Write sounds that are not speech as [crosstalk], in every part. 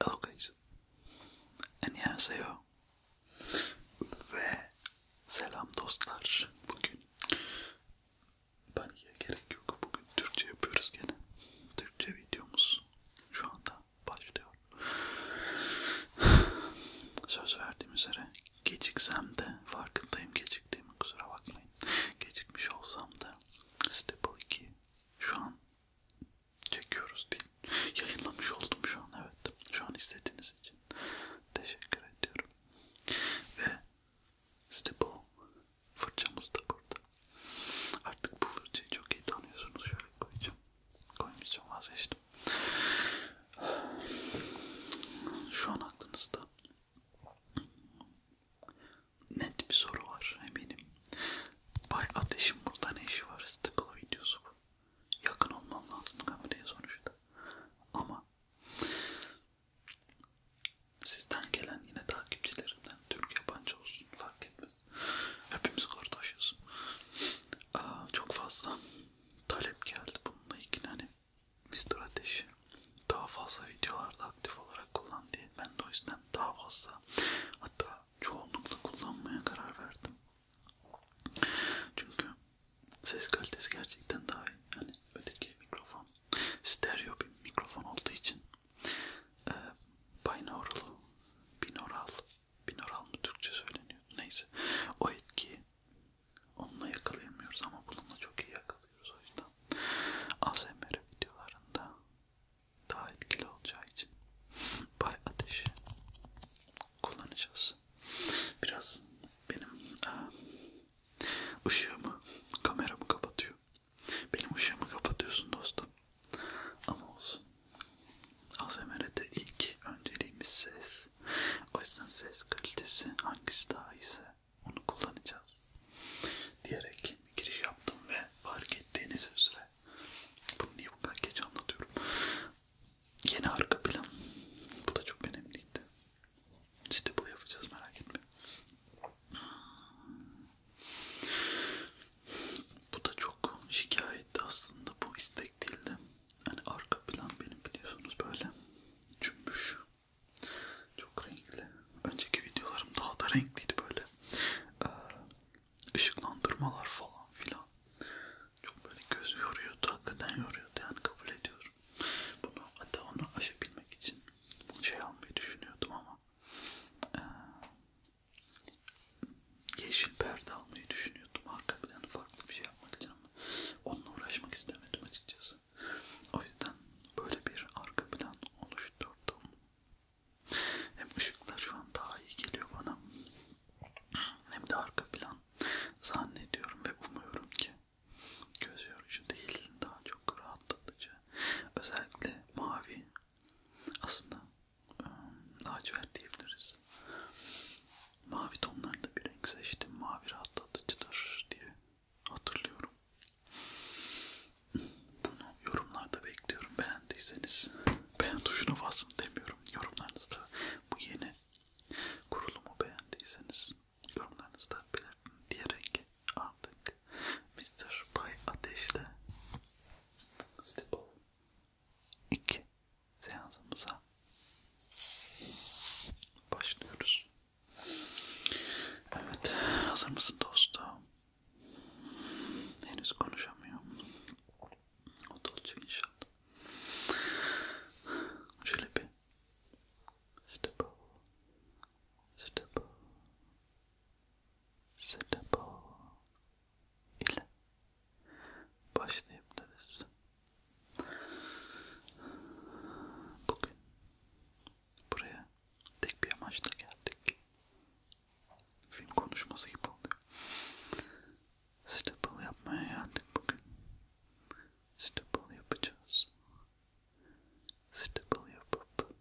Hello guys. 안녕하세요. Ve selam dostlar. Bugün paniğe gerek yok. Bugün Türkçe yapıyoruz gene. Türkçe videomuz şu anda başlıyor. Söz verdiğim üzere geciksem de farkındayım geciktiğimi kusura bakmayın. Gecikmiş olsam da Staple 2 şu an çekiyoruz değil. Yayınlamış oldum şu an evet. Şu an istediğiniz için teşekkür ediyorum. Ve Staple fırçamız da burada. Artık bu fırçayı çok iyi tanıyorsunuz. Şöyle koyacağım. Koymayacağım vazgeçtim. Şu an aklınızda net bir soru var eminim. Bay Ateş'in burada ne işi var? Stıklı videosu bu. Yakın olmam lazım kameraya sonuçta. Ama sizden gelen yine takipçilerimden Türk yabancı olsun fark etmez. Hepimiz kardeşiz. Aa, çok fazla talep geldi bununla ilgili hani bir strateji. Daha fazla videolarda aktif olarak kullan diye. Ben de o yüzden daha fazla hatta çoğunlukla kullanmaya karar verdim. Çünkü ses kalitesi gerçekten daha iyi. Yani öteki mikrofon stereo bir mikrofon olduğu için e, binaural, binaural, binaural mı Türkçe söyleniyor? Neyse o etkiyi onunla yakalayamıyoruz ama bununla çok iyi yakalayabiliyoruz alıyoruz o yüzden ASMR videolarında daha etkili olacağı için bay ateşi kullanacağız. Biraz benim aa, e, ışığımı, kameramı kapatıyor. Benim ışığımı kapatıyorsun dostum. Ama olsun. ASMR'de ilk önceliğimiz ses. O yüzden ses kalitesi hangisi daha iyiyse onu kullanacağız diyerek giriş yaptım ve fark ettiğiniz üzere bunu niye bu kadar geç anlatıyorum yeni arka plan bu da çok önemliydi stable yapacağız merak etme bu da çok şikayet aslında bu istek değildi hani arka plan benim biliyorsunuz böyle cümbüş çok renkli. Önceki videolarım daha da renkliydi böyle. Ee, ışıklandırmalar falan filan. Çok böyle göz yoruyordu. Hakikaten yoruyordu yani kabul ediyorum. Bunu hatta onu aşabilmek için şey almayı düşünüyordum ama ee, yeşil perde almayı düşünüyordum. Arka planı farklı bir şey yapmak için ama onunla uğraşmak istemedim açıkçası. O yüzden böyle bir arka plan oluşturdum. Hem ışıklar şu an daha iyi geliyor bana. Hem de arka plan zannediyorum ve umuyorum ki göz yorucu değil daha çok rahatlatıcı. Özellikle mavi aslında ıı, lacivert diyebiliriz. Mavi tonlarda bir renk seçtim. Mavi rahatlatıcıdır diye hatırlıyorum. Bunu yorumlarda bekliyorum. Beğendiyseniz beğen tuşuna basın demiyorum. Yorumlarınızda bu yeni kurulumu beğendiyseniz yorumlarınızda belirtin diyerek artık Mr. Bay Ateş'le Stipple 2 seansımıza başlıyoruz. Evet, hazır mısın dostum? Henüz konuşamıyorum. O da olacak inşallah. Şöyle bir step up, step up, step up ile başlayabiliriz. Bugün buraya tek bir amaçla geldik. Film konuşması gibi oluyor. Stipple yapmaya geldik bugün. Stipple yapacağız. Stipple yapıp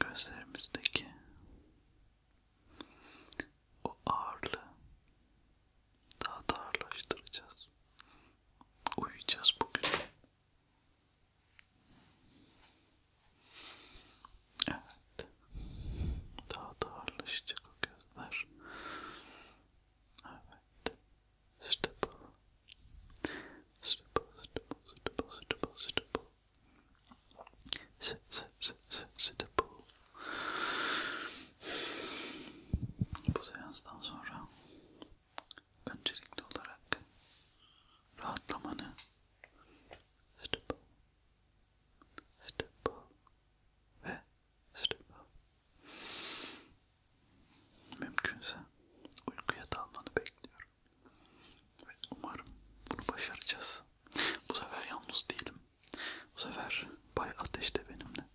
gözlerimizdeki o ağırlığı daha da ağırlaştıracağız. Uyuyacağız bugün. Evet. Daha da ağırlaşacak o gözler. Evet. Stipple. Stipple, stipple, stipple, stipple, stipple. S -s -s -s stipple. Bu seanstan sonra öncelikli olarak rahatlamanı stipple, stipple ve stipple mümkünse uykuya dalmanı bekliyorum ve umarım bunu başaracağız. Bu sefer yalnız değilim. Bu sefer Bay Ateş de benimle.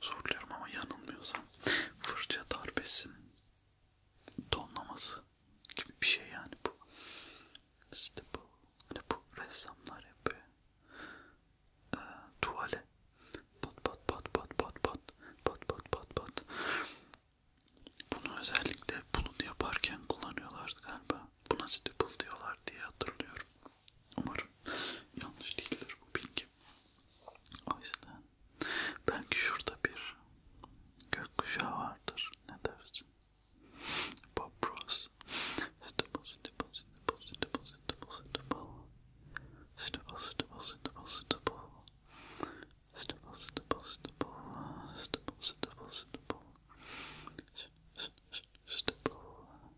Soruyorum ama yanılmıyorsam fırça darbesinin tonlaması gibi bir şey yani bu. İşte bu, hani bu ressamlar yapıyor. E, tuvale. Pat pat pat pat pat pat pat pat pat pat. Bunu özellikle bunu yaparken kullanıyorlardı galiba. Buna stipple diyorlar diye hatırlıyorum. Umarım yanlış değildir bu bilgi. O yüzden belki şurada bir gökkuşağı vardır. Ne dersin? Bob Ross. Stipple, stipple, stipple, stipple, stipple, stipple. Stipple, stipple, stipple, stipple. Stipple, stipple, stipple. Stipple, stipple, stipple. Stipple, stipple, stipple.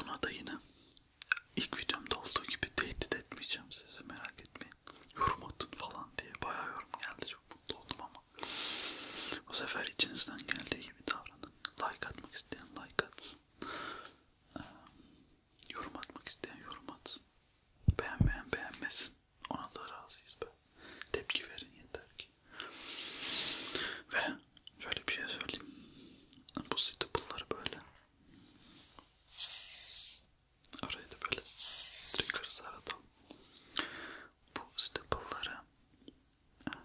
Buna da yine ilk videomda olduğu gibi tehdit etmeyeceğim sizi merak etmeyin. Yorum atın falan diye bayağı yorum geldi çok mutlu oldum ama bu sefer içinizden geldiği gibi davranın. Like atmak isteyen like atsın. Ee, yorum atmak isteyen yorum atsın. Beğenmeyen beğenmesin. Ona da razıyız be. Tepki verin yeter ki. Ve şöyle bir şey söyleyeyim. Bu staple'ları böyle araya da böyle triggers aratalım. Bu staple'ları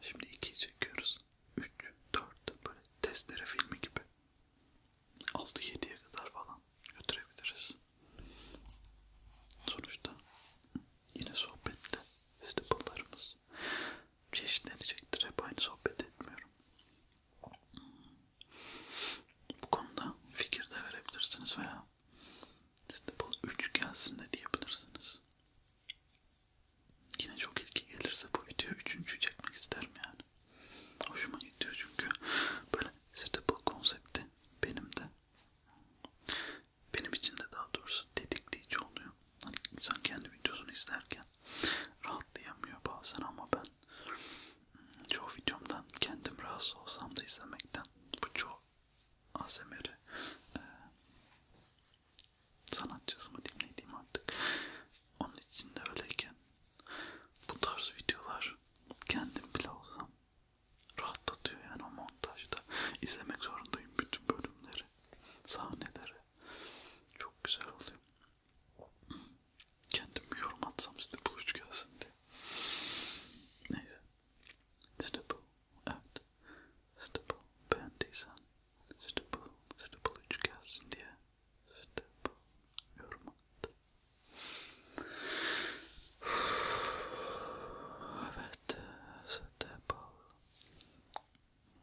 şimdi ikiyi çekiyoruz. 3, 4 böyle testere filmi gibi 6-7'ye kadar falan götürebiliriz. Sonuçta yine sohbetle staple'larımız çeşitlenecektir. Hep aynı sohbet etmiyorum. Bu konuda fikir de verebilirsiniz veya Stable 3 gelsin de diyebilirsiniz. Yine çok ilgi gelirse bu video üçüncü çekmek isterim yani. Hoşuma gidiyor çünkü böyle Stable konsepti benim de benim için de daha doğrusu tetikleyici oluyor. Hani insan kendi videosunu izlerken rahatlayamıyor bazen ama ben hmm, çoğu videomdan kendim rahatsız olsam da izlemekten bu çoğu ASMR'i e, sanatçısı mı dinlediğim artık onun için de öyleyken bu tarz videolar kendim bile olsam rahatlatıyor yani o montajda izlemek zorundayım bütün bölümleri sahneleri çok güzel oluyor. Kendim yorum atsam size bu üç gelsin diye. Neyse. Stipple. Evet. Stipple. Beğendiysen Stipple. Stipple üç gelsin diye. Stipple. Yorum attı. evet. Stipple.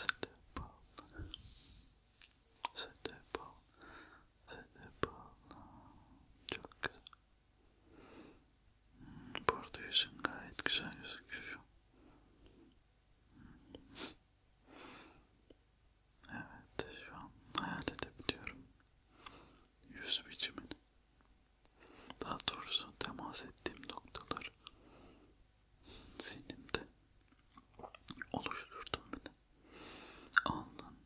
Sedef al. Sedef al. Sedef al. Çok güzel. Hmm, burada yüzün gayet güzel gözüküyor. Evet şu an hayal edebiliyorum. Yüz biçimini. Daha doğrusu temas ettiğim noktalar zihnimde oluşturdum beni. Alnın,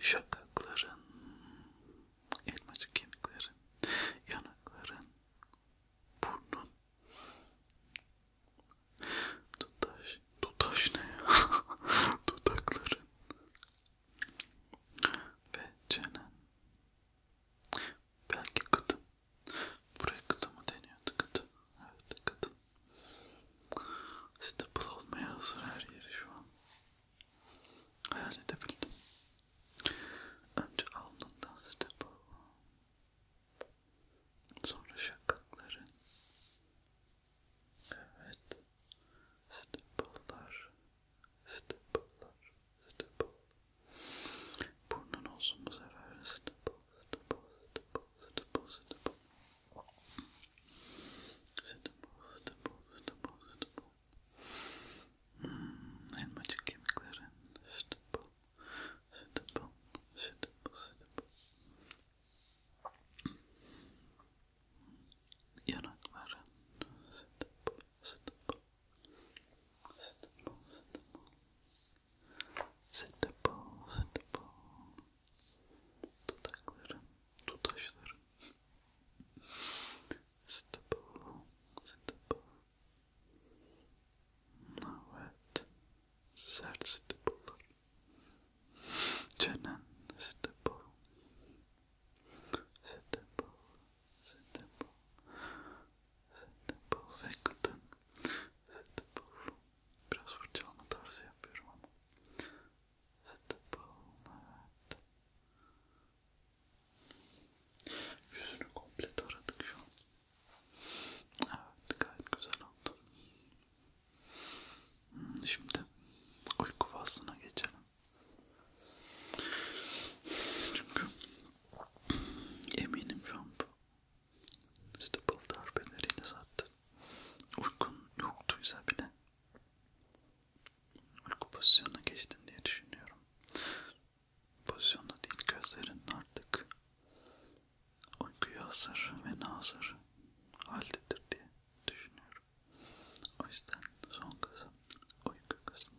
şakakların, elmacık kemiklerin, yanakların, burnun, tutaş, tutaş ne ya? Dudakların [laughs] ve çenen. Belki kadın Buraya kıtı mı deniyordu kıtı? Evet kıtı. Stable olmaya hazır her yeri şu an. Hayal edebildim. Önce alnından stable. Sonra şakakların. Evet. Staple'lar. Staple'lar stipple. Burnun olsun bu sefer. Stipple, stipple, stipple, stipple, stipple. Stipple, stipple, stipple, stipple. Hmm, elmacık kemiklerin. Stipple, stipple, stipple, stipple. Yanakların. Stipple, stipple, C'est bon, c'est bon. C'est bon, c'est bon. Dudakların, tutaşların. C'est bon, c'est bon. Evet. Sert stipullar. Çenen stipul. Stipul. Stipul. Stipple ve kıtın. Stipple. Biraz fırçalama tarzı yapıyorum ama. Stipple. Evet. Yüzünü komple taradık şu an. Evet gayet güzel oldu. Hmm, şimdi uyku faslına geçelim. Çünkü Eminim şampu. İşte bıldar beneriyle zaten. Uykun yoktuysa bile. Uyku pozisyonuna geçtin diye düşünüyorum. Pozisyonda değil gözlerin artık uykuya hazır ve nazır haldedir diye düşünüyorum. O yüzden son kısım uyku kısmı.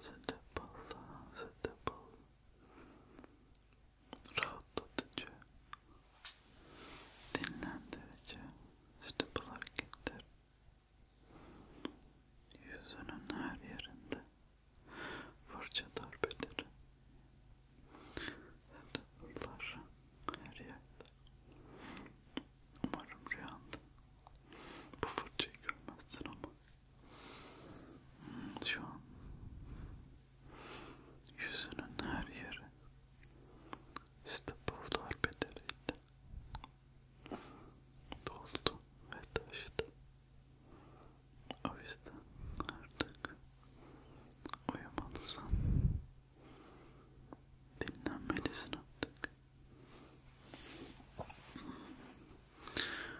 Sedef Allah, sedef Allah. Rahatlatıcı, dinlendirici, sedef hareketler. Yüzünün her yerinde fırça darbeleri. Sedeflar her yerde. Umarım rüyanda bu fırçayı görmezsin ama şu an yüzünün her yeri İstanbul darbeleriyle doldu ve taştı. O yüzden artık uyumalısın, dinlenmelisin artık.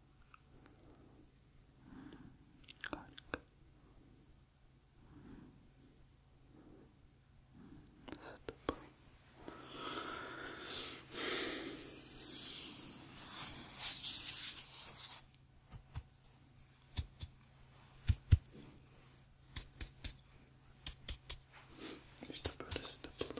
Harika. Sıtıp. İşte böyle sıtıplar.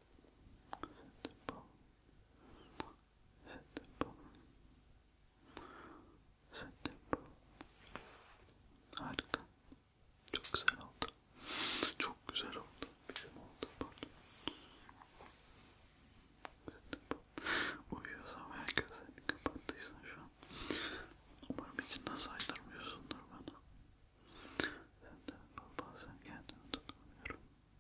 C'était beau. C'était beau. C'était beau. Harika. Çok güzel oldu. Çok güzel oldu. Bizim oldu. Pardon. C'était beau. Uyuyorsam eğer gözlerini kapattıysan şu an. Umarım içinden saydırmıyorsundur bana. Ben de bazen kendimi tutamıyorum.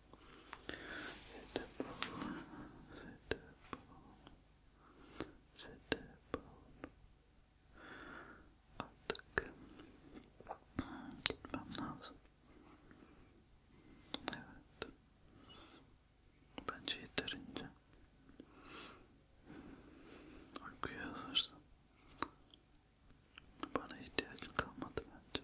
C'était bon, c'était bon, c'était bon. Artık gitmem lazım. Evet. Bence yeterince. Uykuya hazırsın. Bana ihtiyacın kalmadı bence.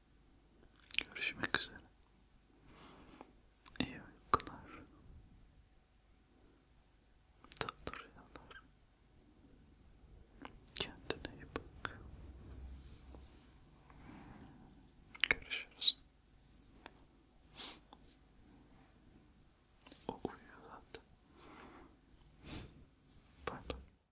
Görüşmek üzere. İyi uykular. Tatlı rüyalar. Kendine iyi bak. Görüşürüz. O uyuyor zaten. Bye bye.